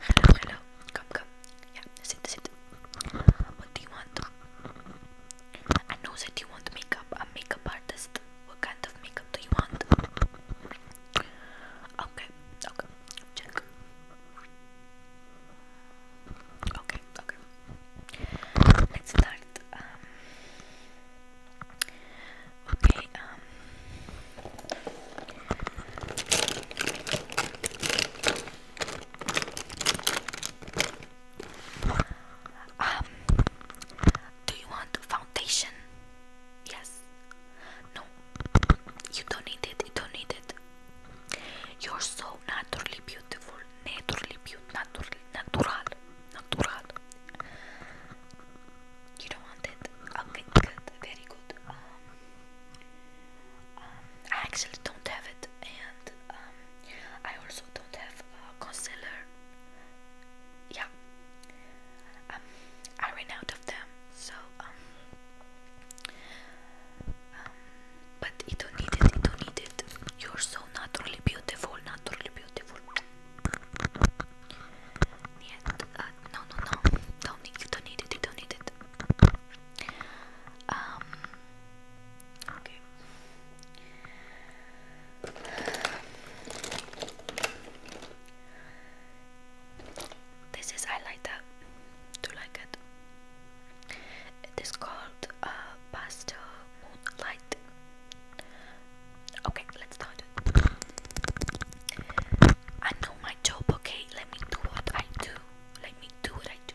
Hello, hello. Come, come. Yeah, sit, sit. What do you want? I know that you want makeup. I'm makeup artist. What kind of makeup do you want? Okay, okay. Check. Okay, okay. Let's start. Um, Okay, um um do you want foundation? Yes. No. You don't need it. You don't need it. You're so naturally beautiful. Naturally beautiful. Natural. Natural. You don't want it? Okay, good, very good. Um, um, I actually don't have it, and um, I also don't have a concealer. Yeah, um, I ran out of them, so um, um, but you don't need it. You don't need it. You're so naturally beautiful, naturally beautiful no, no, no, don't need, you don't need it, don't need it. Um, okay. This is highlighter. Do you like it? It is called a uh, Pastel Moonlight Okay, let's start. I know my job, okay? Let me do what I do. Let me do what I do.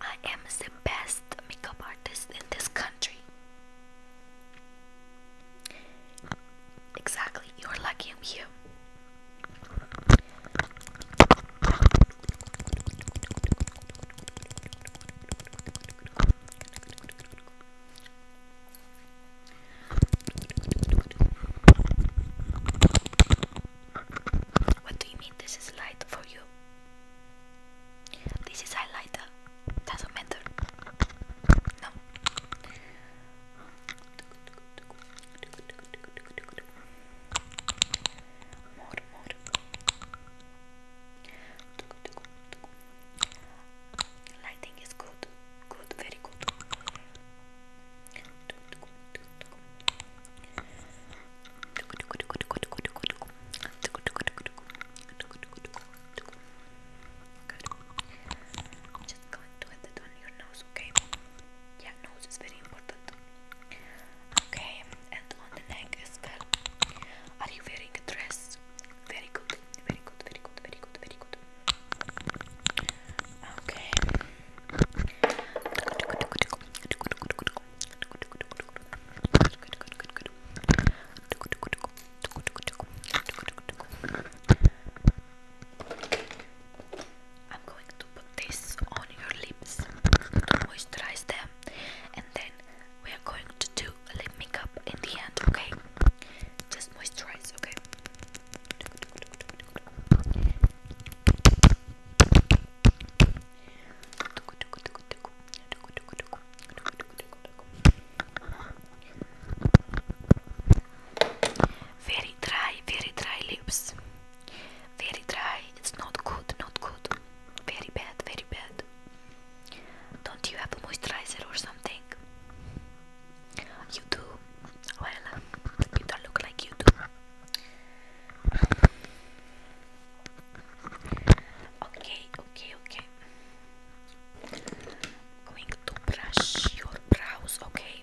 I am the best makeup artist in this country. Exactly, you're lucky I'm here. What do you mean this is light for you? This is highlighter. Uh, doesn't matter. No. More, more. Lighting is good, good, very good. Just going to add it on your nose, okay? Yeah, nose is very important. Okay, are you wearing a dress? Very good, very good, very good, very good, very good. Okay. I'm going to put this on your lips to moisturize them and then we are going to do a lip makeup in the end, okay? Just moisturize, okay? Very dry, very dry lips. Very dry. It's not good, not good. Very bad, very bad. Don't you have a moisturizer or something? You do? Well, you look like you do. Okay, okay, okay. going to brush your brows, okay?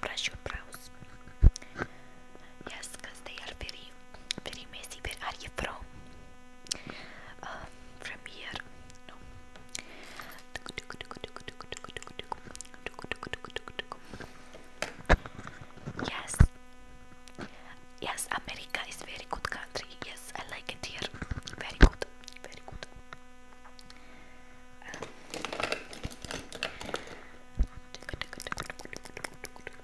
Brush your brows. Yes, they are very very messy. Where are you from? Uh, from here? Yes. Yes, America is very good country. Yes, I like it here. Very good. Very good. Uh.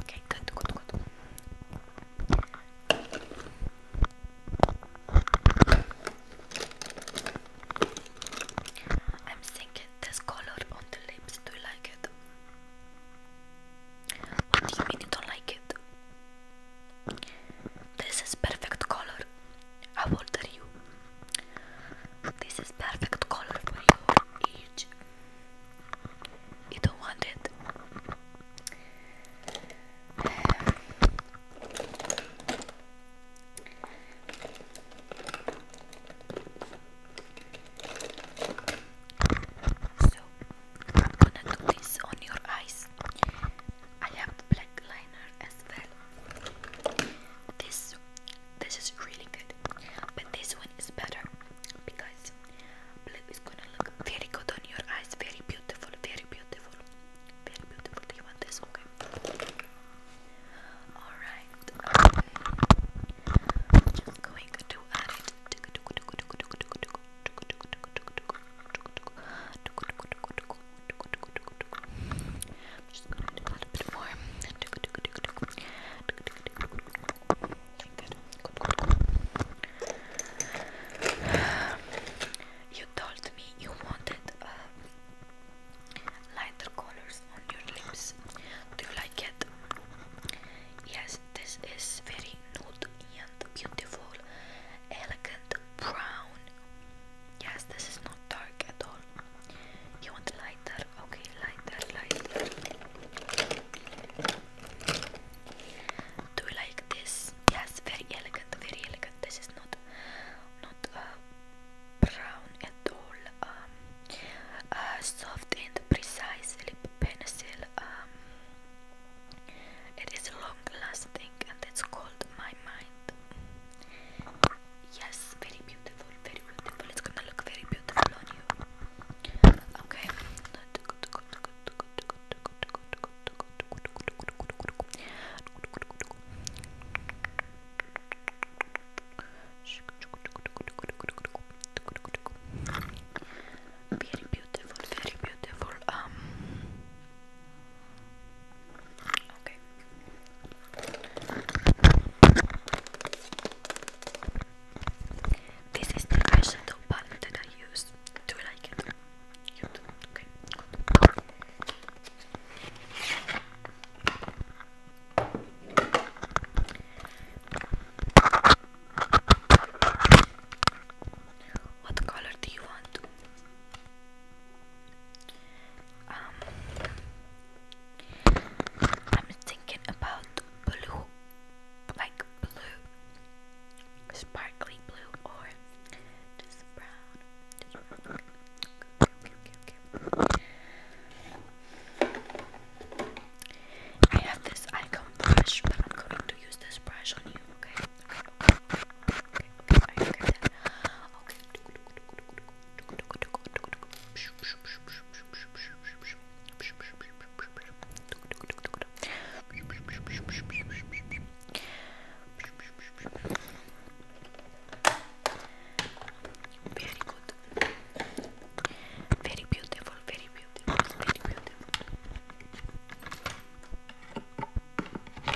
Okay, good, good, good. I'm thinking this color on the lips. Do you like it? What do you don't like it? This is perfect color. I old are you? This is perfect color for your age. You don't want it. So I'm gonna do this on your eyes. I have black liner as well. This this is really good. But this one is better because blue is gonna look very good on your eyes. Very beautiful, very beautiful. Very beautiful. Do you want this? Okay. Alright just gonna do a little bit more. You told me you wanted uh, lighter colors on your lips. Do you like it? Yes, this is very nude and beautiful, elegant brown. Yes, this is not dark at all. You want lighter? Okay, lighter, lighter. Do you like this? Yes, very elegant, very elegant. This is not not uh, brown at all. Um, uh, soft and precise lip pencil. Um, it is long lasting and it's called my mind. Yes, very beautiful, very beautiful. It's gonna look very beautiful on you. Okay. Very beautiful, very beautiful. Um Okay. This is the eyeshadow palette that I use. Do you like it? You do? Okay. What color do you want? Um, I'm thinking about blue, like blue, sparkly blue, or just brown. I have this icon brush, but I'm going to use this brush on you, okay? Okay, okay, okay, okay. Very good. Very beautiful, very beautiful, very beautiful. My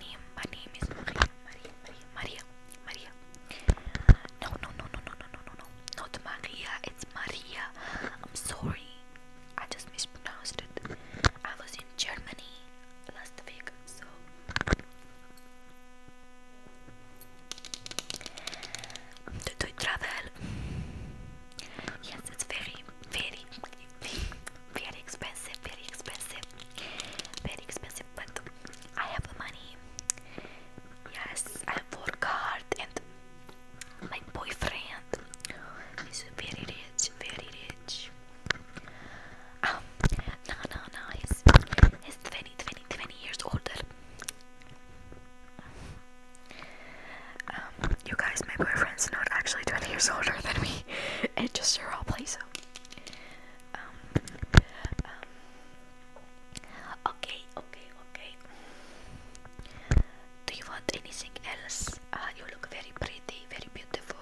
name, my name is Maria, Maria, Maria, Maria, Maria. No, no, no, no, no, no, no, no, no. Not Maria, it's Maria. I'm sorry. I just mispronounced it. I was in Germany last week, so do, do travel. Yes, it's very, very, very expensive, very expensive, very expensive. But I have money. Yes, I work hard, and my boyfriend is very rich, very rich. Um, no, no, no, he's, he's 20, years older. Um, you guys, my boyfriend's not actually 20 years older than me. It just sure all plays out. Um, um, okay, okay, okay. Do you want anything else? Uh, you look very pretty, very beautiful.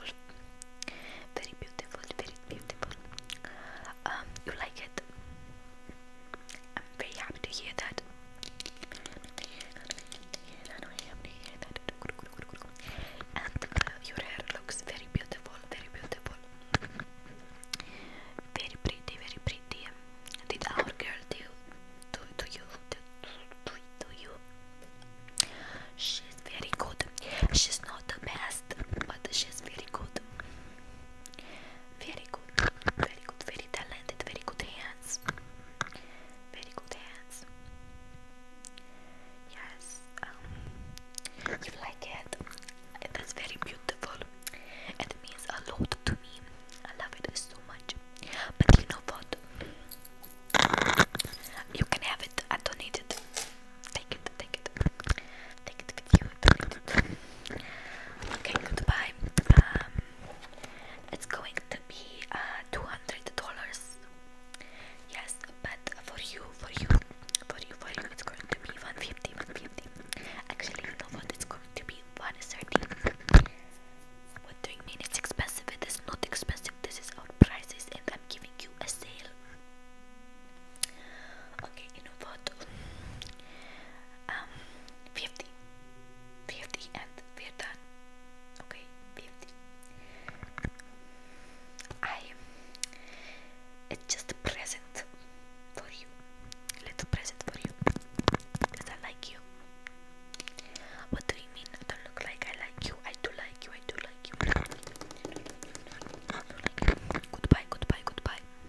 Very beautiful, very beautiful. you like it? I'm very happy to hear that. And uh, your hair looks very beautiful, very beautiful. Very pretty, very pretty. Did our girl do do, do you do, you? She's very good. She's not the best, but she's very good. Very very good, very talented, very good hands, very good hands. Yes, um, you like it. That's very beautiful. It means a lot to me. I love it so much. But you know what? You can have it. I donate it. Take it, take it, take it with you. Okay, goodbye. Um, it's going to be uh, two hundred dollars. Yes, but for you, for you, for you, for you, it's going to be one hundred fifty. one fifty, one fifty. Actually, you know what? It's going to be one thirty. What do you mean? It's expensive. It is not expensive. This is our prices, and I'm giving you a sale. Okay, you know what? um, 50 50 and we're done okay 50 I it's just a present for you a little present for you because I like you what do you mean I don't look like I like you I do like you I do like you Goodbye, goodbye, goodbye.